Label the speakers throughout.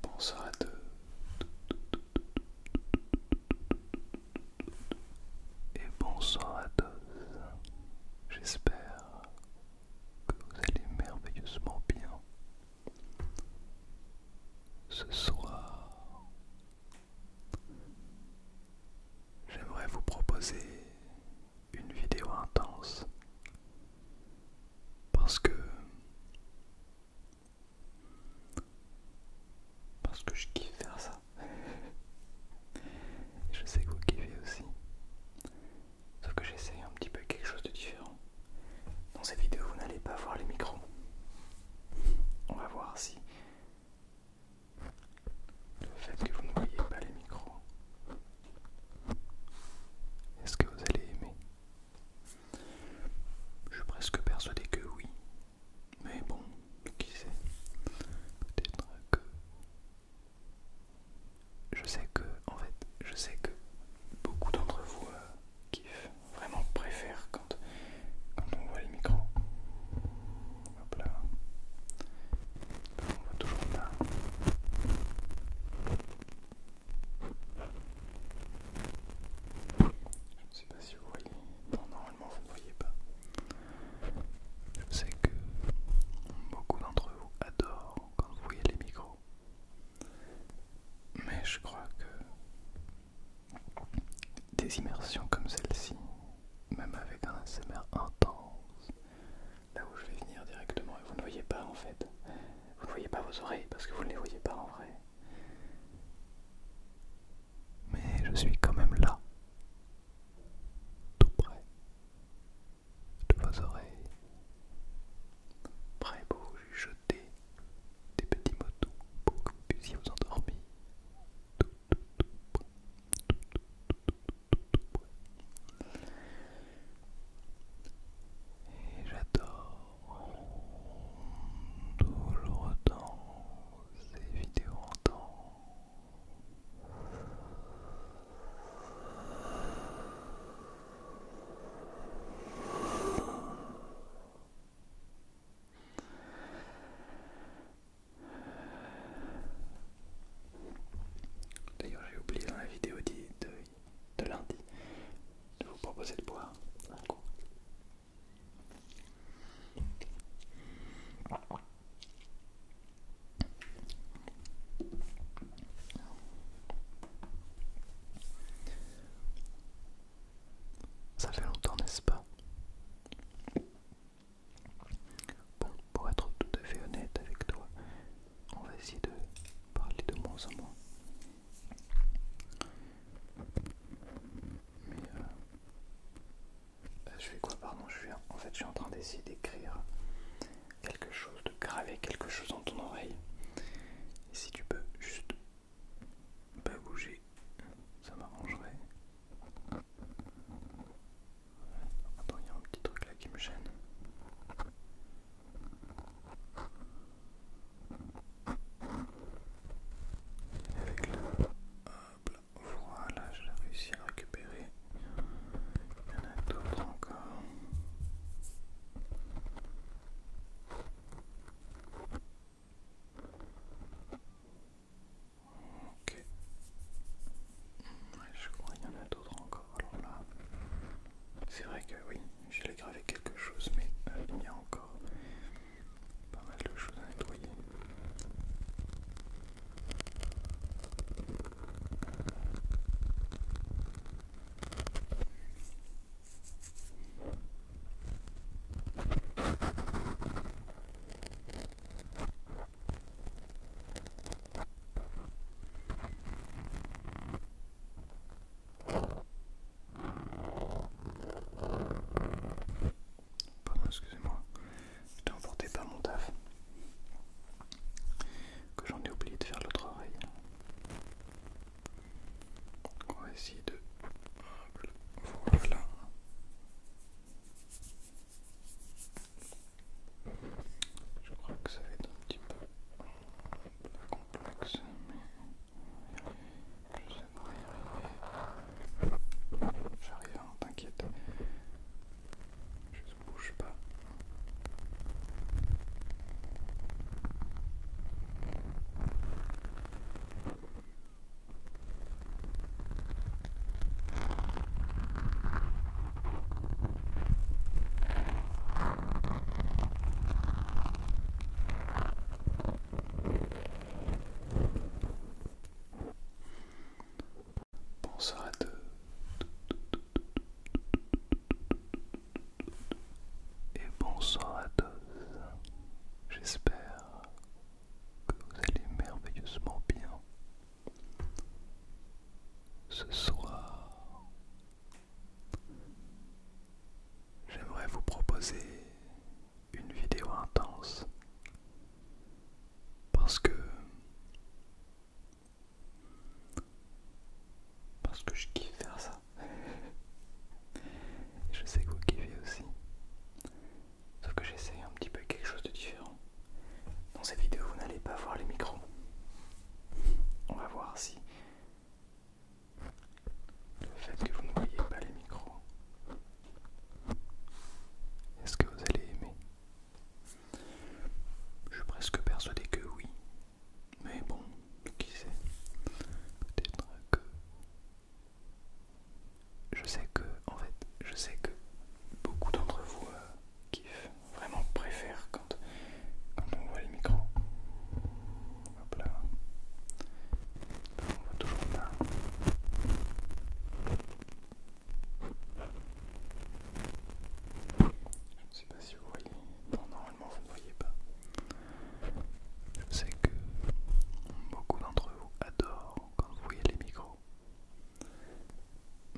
Speaker 1: Bonsoir à tous et bonsoir à tous. J'espère que vous allez merveilleusement bien. Ce soir, j'aimerais vous proposer une vidéo intense parce que parce que je kiffe faire ça. je sais que vous kiffez aussi. Sauf que j'essaye un petit peu quelque chose de différent. Dans cette vidéo, vous n'allez pas voir les micros. On va voir si le fait que vous ne voyez pas les micros, est-ce que vous allez aimer je suis presque persuadé que oui. Mais bon, qui sait Peut-être que... Je sais que, en fait, je sais que beaucoup d'entre vous kiffent, euh, vraiment préfèrent quand, on voit le micro. Hop là. On voit toujours pas. Je ne sais pas si vous voyez. normalement vous ne voyez pas. Je sais que beaucoup d'entre vous adorent quand vous voyez les micros. Mais je crois que des immersions comme celle-ci, même avec un ASMR intense, là où je vais venir directement vous ne voyez pas en fait, vous ne voyez pas vos oreilles parce que vous ne les voyez pas en vrai. Mais je suis quand même là, tout près de vos oreilles, prêt pour vous jeter des petits motos pour que vous puissiez vous endormir. Et j'adore toujours dans ces vidéos en temps. D'ailleurs j'ai oublié dans la vidéo dite de lundi de vous proposer de boire un coup. Ça fait longtemps, n'est-ce pas Bon, pour être tout à fait honnête avec toi, on va essayer de parler de moins en moins. Mais euh, euh, je fais quoi Pardon, je suis en fait je suis en train d'essayer d'écrire quelque chose, de graver quelque chose dans ton oreille. Et si tu peux juste pas bouger, ça m'arrangerait. Attends, il y a un petit truc là qui me gêne. Avec le... Hop là. Voilà, j'ai réussi à récupérer. Il y en a d'autres encore. Ok. je crois qu'il y en a d'autres encore. Alors là, c'est vrai que oui, l'ai gravé quelque chose, mais euh, il y a encore pas mal de choses à nettoyer. Pardon, excusez-moi. je t'ai emporté par mon taf. Que j'en ai oublié de faire l'autre oreille. Voilà. Je crois que ça va être un petit peu plus complexe, mais j'essaie de arriver. J'arrive, hein, t'inquiète. Je ne bouge pas. Bonsoir à tous. Et bonsoir à tous. J'espère que vous allez merveilleusement bien. Ce soir, j'aimerais vous proposer une vidéo intense parce que parce que je kiffe faire ça. je sais que vous kiffez aussi. Sauf que j'essaie un petit peu quelque chose de différent. Dans cette vidéo, vous n'allez pas voir les micros. On va voir si le fait que vous n'oubliez pas les micros, est-ce que vous allez aimer Je suis presque persuadé que oui. Mais bon, qui sait Peut-être que... Je sais que, en fait, je sais que beaucoup d'entre vous euh, kiffent vraiment préfère quand, on voit les micros. Hop là. On voit toujours pas. Je ne sais pas si vous voyez. normalement vous ne voyez pas. Je sais que beaucoup d'entre vous adorent quand vous voyez les micros.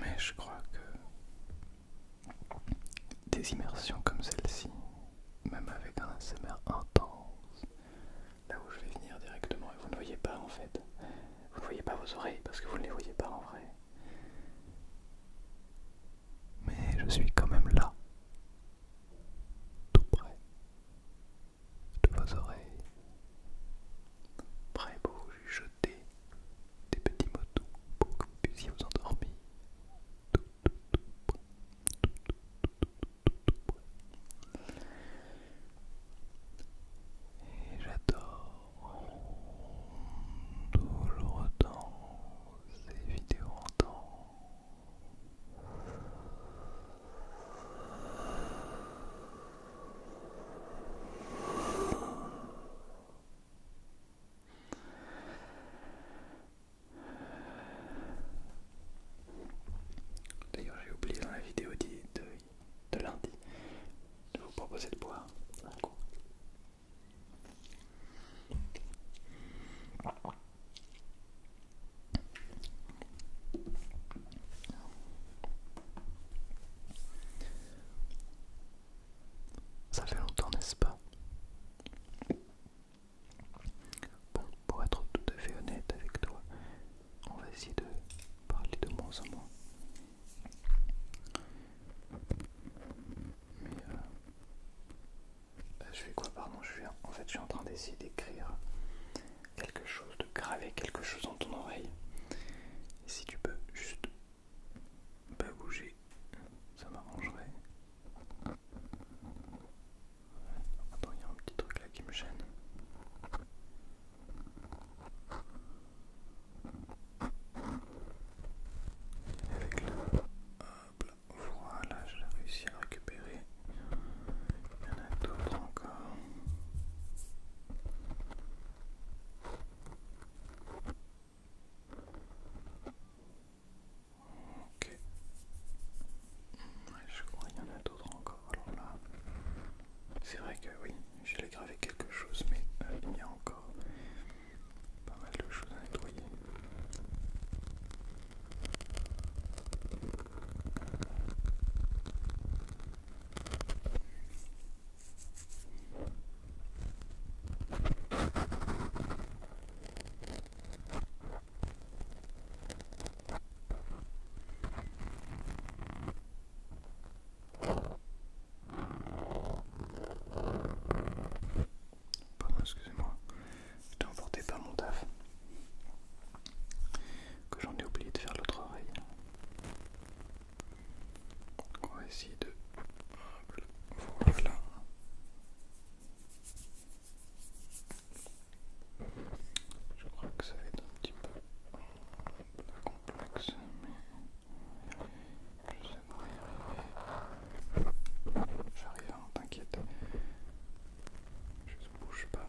Speaker 1: Mais je crois que des immersions comme celle-ci, même avec un ASMR intense, là où je vais venir directement et vous ne voyez pas en fait, vous ne voyez pas vos oreilles parce que vous ne les voyez pas en vrai. Mais je suis quand même là, tout près de vos oreilles, prêt pour vous des petits mots doux pour que vous puissiez vous endormir. Et j'adore tout le temps ces vidéos en temps. D'ailleurs, j'ai oublié dans la vidéo de, de, lundi de vous proposer de boire ça fait longtemps, n'est-ce pas Bon, pour être tout à fait honnête avec toi, on va essayer de parler de moins en moins. Mais euh, bah, je fais quoi Pardon, je suis en fait, je suis en train d'essayer d'écrire quelque chose, de graver quelque chose dans ton oreille. Et si tu peux juste pas bouger, ça m'arrangerait. Attends, il y a un petit truc là qui me gêne. Avec le... Hop là, voilà, l'ai réussi à récupérer. Il y en a d'autres encore. Ok. je crois qu'il y en a d'autres encore. Alors là, c'est vrai que oui, j'ai gravé quelque chose, mais euh, il y a encore pas mal de choses à nettoyer. Pardon, excusez-moi, je emporté par mon taf. Que j'en ai oublié de faire l'autre oreille. Donc on va de... Voilà. Je crois que ça va être un petit peu complexe, mais je sais pas y arriver. J'arrive, hein, t'inquiète. Je bouge pas.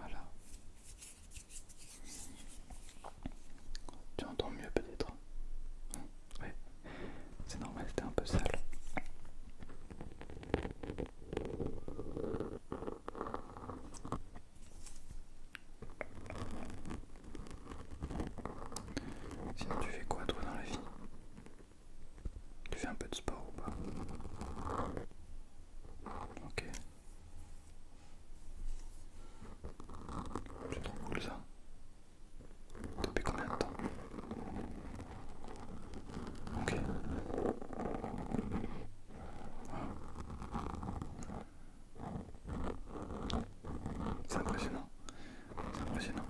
Speaker 1: Voilà. Tu entends mieux peut-être Oui, c'est normal, t'es un peu sale. Sinon tu fais quoi toi dans la vie Tu fais un peu de sport ou pas Ok. C'est trop cool ça. Depuis combien de temps Ok. C'est impressionnant. C'est impressionnant.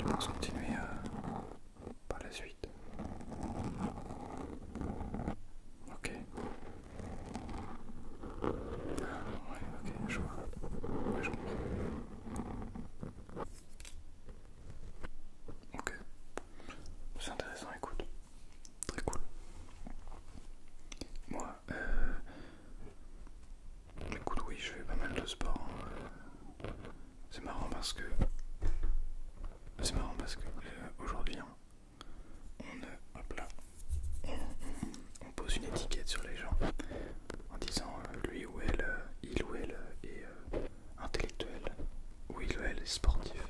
Speaker 1: On va continuer euh, par la suite. Ok. Ah, ouais, ok, je vois. je comprends. Ok. C'est intéressant, écoute. Très cool. Moi, euh... Écoute, oui, je fais pas mal de sport. Hein. C'est marrant parce que. C'est marrant parce que euh, aujourd'hui, hein, euh, on, on, pose une étiquette sur les gens en disant euh, lui ou elle, il ou elle est intellectuel ou il ou elle est sportif.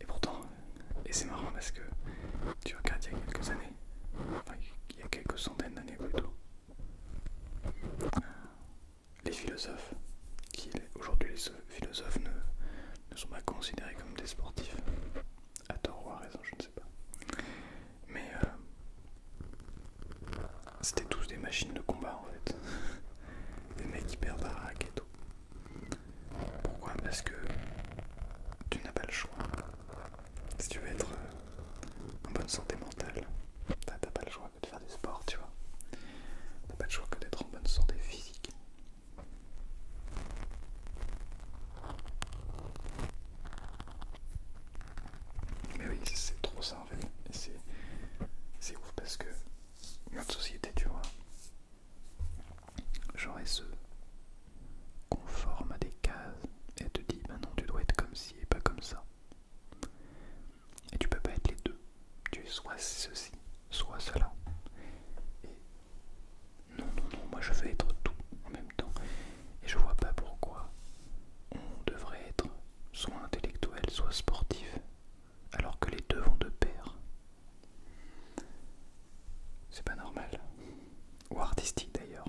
Speaker 1: Et pourtant, et c'est marrant parce que tu regardes il y a quelques années, il y a quelques centaines d'années plutôt, les philosophes, aujourd'hui les philosophes ne, ne sont pas considérés comme des sportifs, à tort ou à raison, je ne sais pas. Mais euh, c'était tous des machines de combat en fait, des mecs hyper baraques et tout. Pourquoi Parce que tu n'as pas le choix. Si tu veux être euh, en bonne santé mentale. T'as pas le choix que de faire du sport, tu vois. T'as pas le choix que d'être en bonne santé physique. Mais oui, c'est trop ça en c'est ouf parce que notre société, tu vois, genre elle se conforme à des cases et elle te dit bah non, tu dois être comme ci et pas comme ça. Et tu peux pas être les deux. Tu es soit ceci, soit cela. Et non, non, non, moi je veux être tout en même temps. Et je vois pas pourquoi on devrait être soit intellectuel, soit sportif, alors que les deux vont de pair. C'est pas normal. Ou artistique d'ailleurs.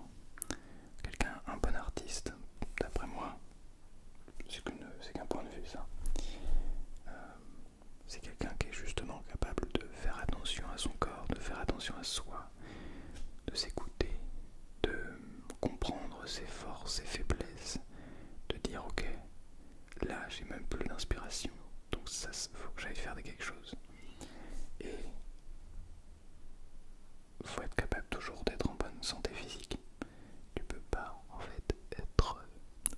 Speaker 1: Quelqu'un, un bon artiste, d'après moi, c'est qu'un point de vue ça. Euh, c'est quelqu'un qui est justement capable de faire attention à son corps, de faire attention à soi, de s'écouter, de comprendre ses forces, ses faiblesses, de dire ok, là j'ai même plus d'inspiration, donc ça faut que j'aille faire quelque chose faut être capable toujours d'être en bonne santé physique. Tu peux pas en fait être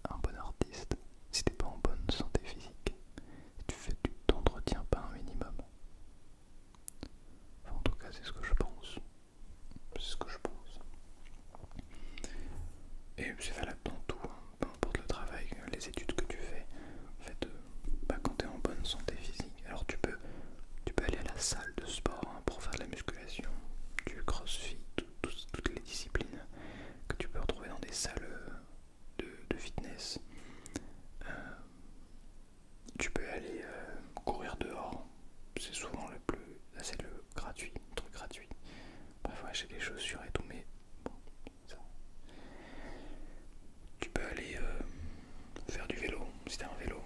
Speaker 1: un bon artiste si t'es pas en bonne santé physique. tu fais, tu t'entretiens pas un minimum. en tout cas, c'est ce que je pense. C'est ce que je pense. Et c'est valable dans tout, hein. peu importe le travail, les études que tu fais. fait, euh, bah, quand tu es en bonne santé physique. Alors tu peux, tu peux aller à la salle de sport hein, pour faire de la musculation, du crossfit, toutes les disciplines que tu peux retrouver dans des salles de, fitness. Euh, tu peux aller euh, courir dehors, c'est souvent le plus. c'est le gratuit, le truc gratuit. Bref, acheter des chaussures et tout, mais bon, ça tu peux aller euh, faire du vélo si t'as un vélo.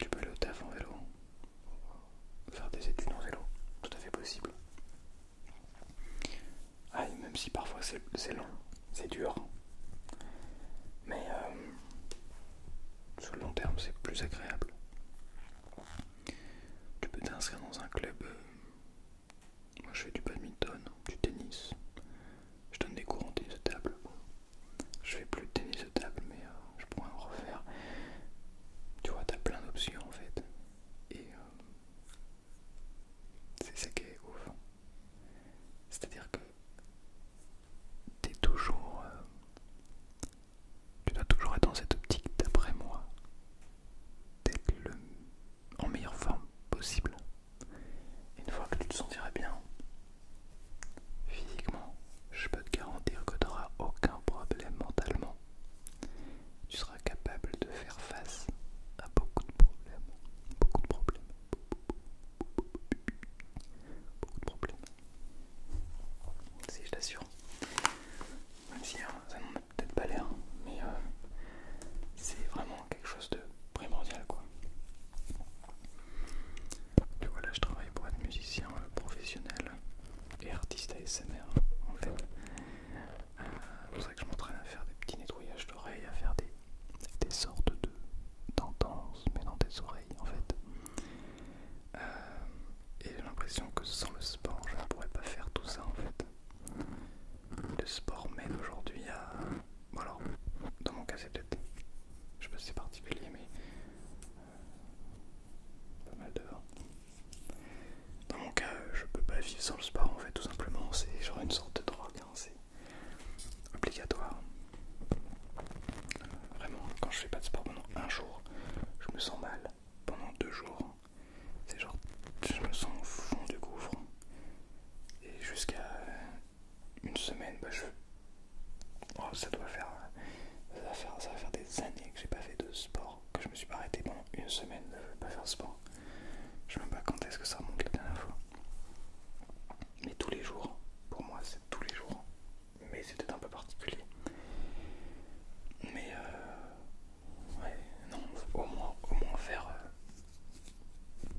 Speaker 1: tu peux aller au taf en vélo. Faire des études en vélo, tout à fait possible. Ah, même si parfois c'est long, c'est dur. Mais euh, sur le long terme, c'est plus agréable. Tu peux t'inscrire dans un club. Euh, moi, je fais du badminton, du tennis, je donne des cours en tennis de table. je fais plus de tennis de table, mais euh, je pourrais en refaire. Tu vois, t'as plein d'options en fait. Et euh, c'est ça qui est ouf. C'est-à-dire que t'es toujours. Euh, tu dois toujours être dans cette optique, d'après moi, d'être en meilleure forme possible une fois que tu te sentiras bien physiquement, je peux te garantir que tu n'auras aucun problème mentalement. Tu seras capable de faire face à beaucoup de problèmes. Beaucoup de problèmes. Beaucoup de problèmes. Si je t'assure. Même si hein, ça n'en a peut-être pas l'air, mais euh, c'est vraiment quelque chose de primordial quoi. Tu vois, là je travaille pour être musicien euh, professionnel et artiste ASMR en fait. Euh, c'est pour ça que je m'entraîne à faire des petits nettoyages d'oreilles, à faire des, sortes de tendances, mais dans des oreilles en fait. Euh, et j'ai l'impression que sans le sport je ne pourrais pas faire tout ça en fait le sport mène aujourd'hui à. voilà, alors, dans mon cas, c'est peut-être. Je sais pas si c'est particulier, mais. Euh, pas mal de. Dans mon cas, je peux pas vivre sans le sport en fait, tout simplement. C'est genre une sorte de drogue, hein. c'est obligatoire. vraiment, quand je fais pas de sport pendant un jour, je me sens mal. Pendant deux jours, c'est genre. Je me sens au fond du gouffre. Et jusqu'à une semaine, bah je... Oh, ça doit euh, faire... Ça va faire, des années que j'ai pas fait de sport, que je me suis pas arrêté pendant une semaine de pas faire sport. Je sais même pas quand est-ce que ça remonte la dernière fois. Mais tous les jours, pour moi c'est tous les jours. Mais c'était un peu particulier. Mais euh, ouais, non, au moins faire euh,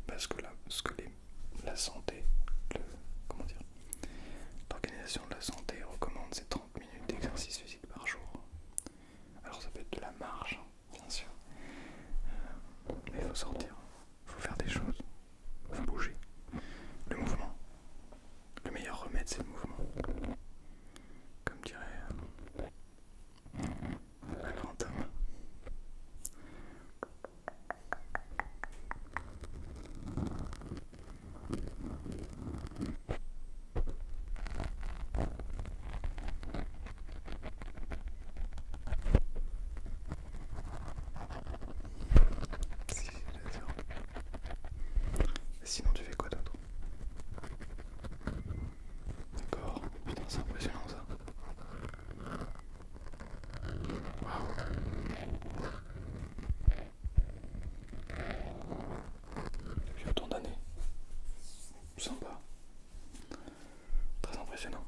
Speaker 1: parce que la, ce que les, la santé, comment dire, l'organisation de la santé recommande ces 30 minutes d'exercice physique par jour. Alors ça peut être de la marge, hein, bien sûr, euh, mais il faut sortir, il faut faire des choses, il faut bouger. Le mouvement, le meilleur remède c'est le mouvement. Comme dirait euh, le Si, Sinon tu fais quoi d'autre D'accord, putain c'est impressionnant ça. Depuis autant d'années. Sympa. Très impressionnant.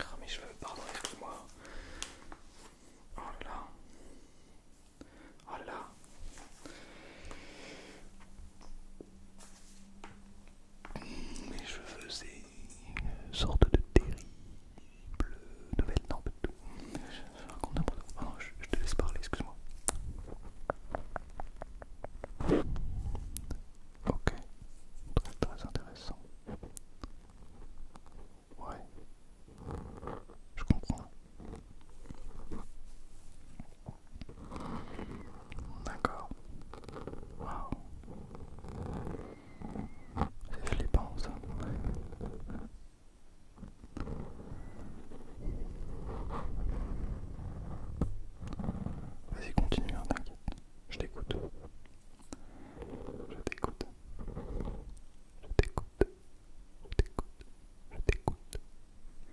Speaker 1: Ah mes cheveux, pardon, excuse-moi. Oh là Oh là. Je faisais une sorte de terrible nouvelle. Non, Je raconte non, je, te laisse parler, excuse-moi. Ok, très intéressant. Ouais, je comprends. D'accord. Waouh. C'est flippant ça. Vas-y, continue, hein, t'inquiète. Je t'écoute. Je t'écoute. Je t'écoute. Je t'écoute. Je t'écoute.